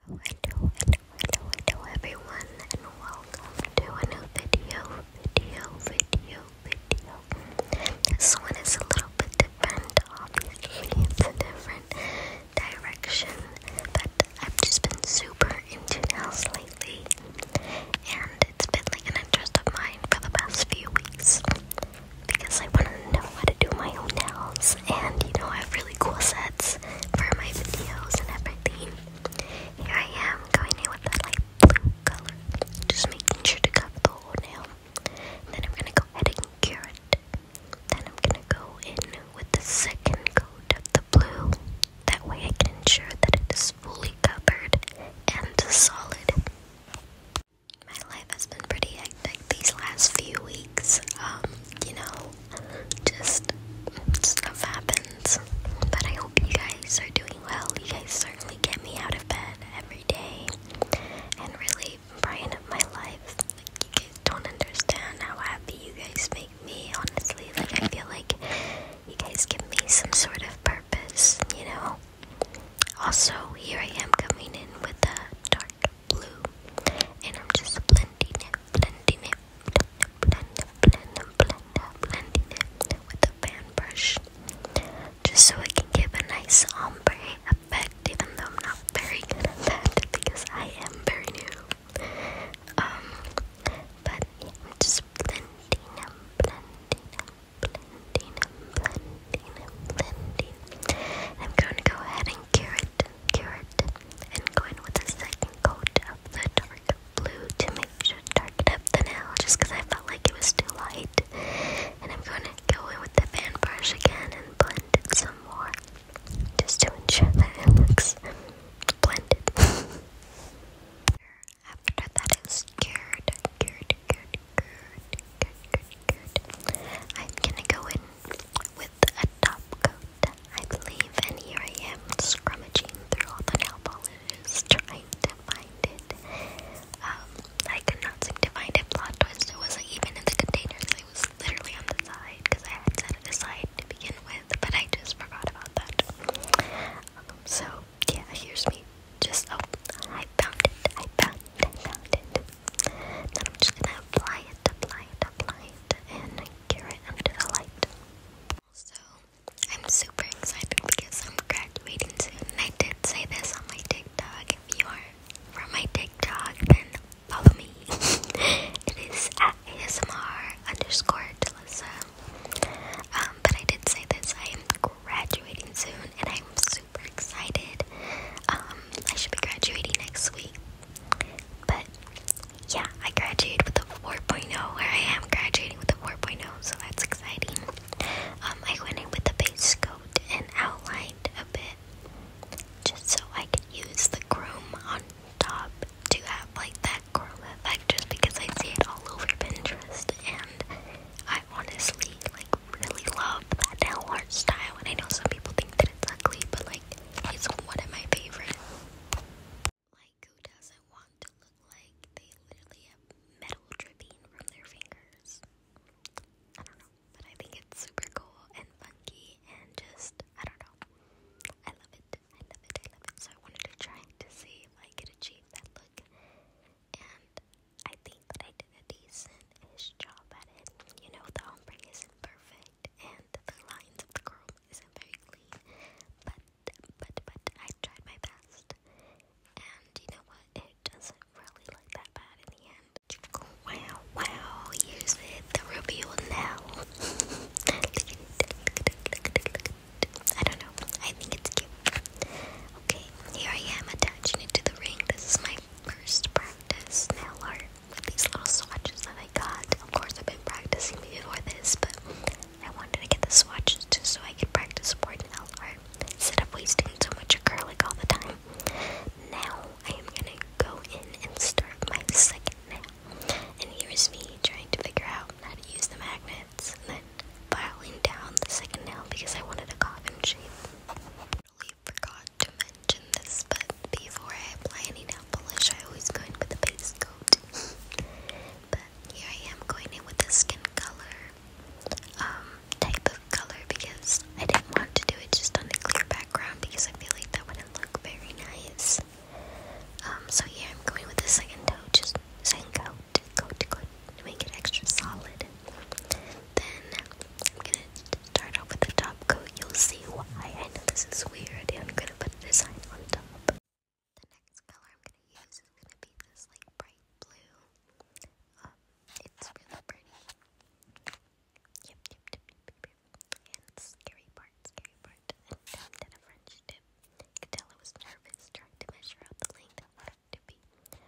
Hello, hello, hello, hello everyone and welcome to a new video, video, video, video. This one is a little bit different, obviously it's a different direction, but I've just been super into nails lately and it's been like an interest of mine for the past few weeks because I want to know how to do my own nails and you know I've really cool sets for my videos and everything. Here I am going in with that light blue color, just making sure to cover the nail. then I'm gonna go ahead and cure it. Then I'm gonna go in with the second coat of the blue. That way I can ensure that it is fully covered and solid. My life has been pretty like, these last few weeks, um, you know, just stuff happens. But I hope you guys are doing well. You guys certainly get me out of bed every day and really brighten up my life. Like, you guys don't understand how happy you guys make me, honestly. Like, I feel like you guys give me some sort of purpose, you know? Also, here I am coming in with a blue. And I'm just blending it, blending it, blend, blend, blend, blending it with a fan brush. Just so it can give a nice ombre effect, even though I'm not very good at that because I am very new. Um, but I'm just blending and blending and blending and blending and blending. I'm going to go ahead and cure red, carrot, and go in with a second coat of the dark blue to make sure to darken up the nail just because I felt like it was too light. And I'm going to go in with the fan brush again and blend it some more just to ensure that it looks blended. After that is cured, cured, cured, cured, cured, cured, cured, I'm gonna go in a top coat, I believe, and here I am scrummaging through all the nail polishes trying to find it. Um, I could not seem to find it. Plot twist, it wasn't even in the containers, it was literally on the side because I had set it aside to begin with, but I just forgot about that. Um, so, yeah, here's me. Just, oh, I found it. I found then I'm just gonna apply it, apply it, apply it, and cure it under the light. Also, I'm super excited because I'm graduating soon. And I did say this on my TikTok. If you are from my TikTok, then follow me. it is at ASMR underscore Delissa. but I did say this. I am graduating soon, and I'm super excited. Um, I should be graduating next week. But yeah, I graduated with a 4.0, or I am graduating with a 4.0, so that's exciting. Um, I went in with a base coat and outlined a bit just so I could use the chrome on top to have like that chrome effect just because I see it all over Pinterest and I honestly like really love that art style, and I know some people think that it's ugly, but like it's one of my favorite. Like, who doesn't want to look like they literally have metal dripping from their fingers? I don't know, but I think it's super cool and funky, and just I don't know. I love it. I love it. I love it. So I wanted to try to see if I could achieve that look, and I think that I did a decent-ish job at it. You know, the ombring isn't perfect, and the lines of the curl isn't very clean, but, but, but I tried my best. And you know what? It doesn't really look that bad in the end. Wow, wow, here's the review now. I don't know, I think it's cute. Okay, here I am attaching it to the ring. This is my first prize practice nail art with these little swatches that I got. Of course, I've been practicing before this, but I wanted to get the swatches too so I could practice more nail art instead of wasting so much acrylic all the time. Now I am gonna go in and start my second nail. And here's me trying to figure out how to use the magnets and then filing down the second nail because I wanted a coffin shape forgot to mention this, but before I apply any nail polish, I always go in with a base coat. but here I am going in with a skin color um, type of color because I didn't want to do it just on the clear background because I feel like that wouldn't look very nice. Um, so here I'm going with the second coat, just second coat, coat, coat, to make it extra solid. Then I'm gonna start off with the top coat. You'll see why. I know this is weird, I'm gonna put this on top. The next color I'm gonna use is gonna be this like bright blue. Um, it's really pretty. Yep, yep, yep, yep, yep. And scary part, scary part. And down to the French tip. You was nervous trying to measure out the length to be, but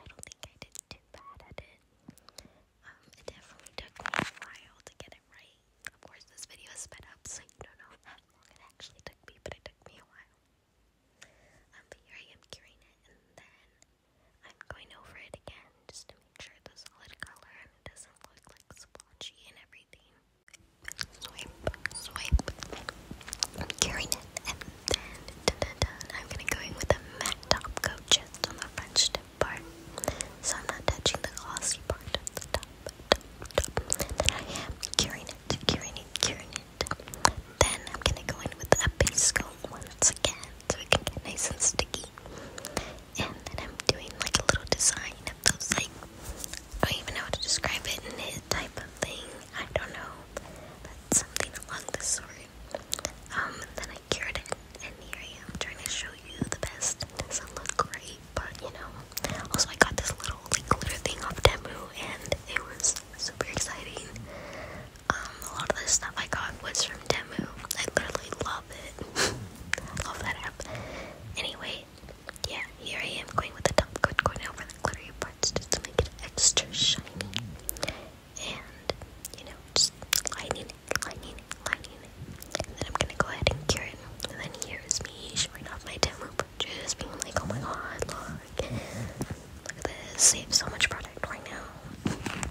I don't think I did too bad at it. Um, it definitely took me a while to get it right. Of course, this video is sped up, so you don't know how long it actually took me, but it took me a while. Um, but here I am curing it, and then I'm going over it again just to make sure the solid color doesn't look like splotchy and everything. Swipe, swipe. curing it, then, I'm gonna go in with a Mac top coat just on the French tip part. So I'm not touching the glossy part of the top, top, top. Then I am curing it, curing it, curing it. Then I'm gonna go in with a base coat once again so it can get nice and sticky. And then I'm doing like a little design of those like I don't even know how to describe it in this type of thing. I don't know something along this story. Um, then I cured it, and here I am trying to show you the best. doesn't look great, but you know. Also, I got this little like glitter thing off Temu, and it was super exciting. Um, a lot of the stuff I got was from Temu. I literally love it. love that app. Anyway, yeah, here I am going with the top coat going over the glittery parts just to make it extra shiny and you know, just lining lining lining then I'm gonna go ahead and cure it. then here is me showing off my demo purchase, being like, oh my god, look, look at this, save so much product right now. Then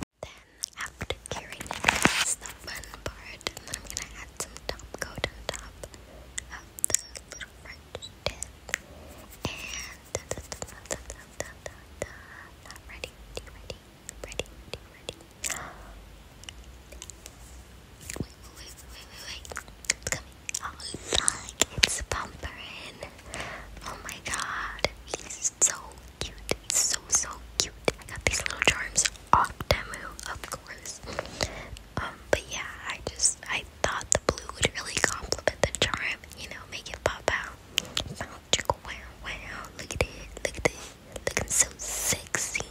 after curing it, the fun part. then I'm gonna add some top coat on top of the little French tip ready, ready, ready, ready, Wait, wait, wait, wait, wait, It's coming. Oh, look, it's Bumperin. Oh my god, he's so cute. so, so cute. I got these little charms off Demu, of course. Um, but yeah, I just, I thought the blue would really complement the charm, you know, make it pop out. So, wow, wow, look at it, look at it, looking so sexy,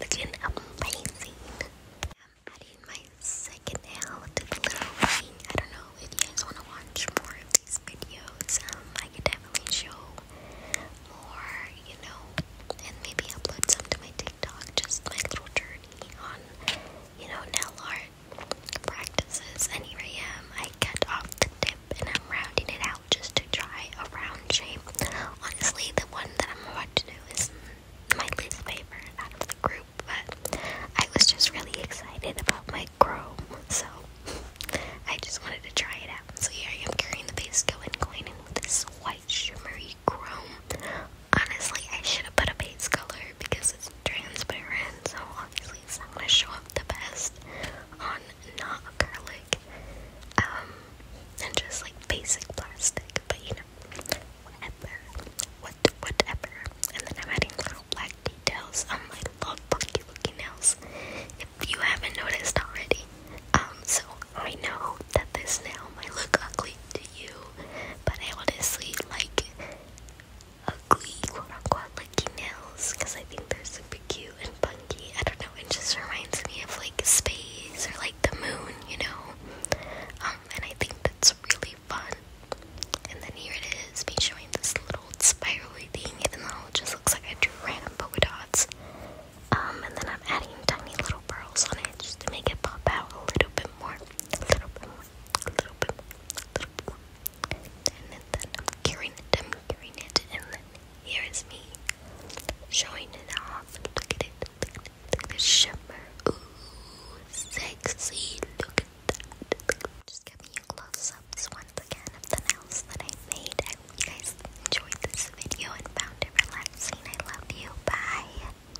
looking amazing. I'm adding my second nail to the little ring. I don't know if you guys want to watch more of these videos. Um, I could definitely show more, you know, and maybe upload some to my TikTok. Just my little journey on, you know, nail art practices, and here I am. I cut off the tip and I'm rounding it out just to try a round shape. Honestly, the one that I'm about to do is my least favorite out of the group, but I was just really excited about my chrome, so I just wanted to try it out. So here I am carrying the base going, going in with this white shimmery chrome honestly, I should have put a base color because it's transparent, so obviously it's not going to show up the best on not acrylic, um, and just like basic plastic, but you know, whatever, what, whatever, and then I'm adding little black details on my little funky looking nails, if you haven't noticed already, um, so I know that this nail might look ugly to you, but I honestly like ugly quote unquote lucky nails because I think they're super cute and funky. I don't know, it just reminds me of like space or like the moon, you know? Um, and I think that's really fun. And then here it is, me showing this little spirally thing, even though it just looks like I drew random polka dots. Um, and then I'm adding tiny little pearls on it just to make it pop out a little bit more. A little bit more a little bit a little bit And then I'm carrying it, I'm carrying it, and then here is me showing it off. Look at it, look at it, the shimmer. Ooh, sexy, look at that. Just give me you close-ups once again of the nails that I made. I hope you guys enjoyed this video and found it relaxing. I love you. Bye.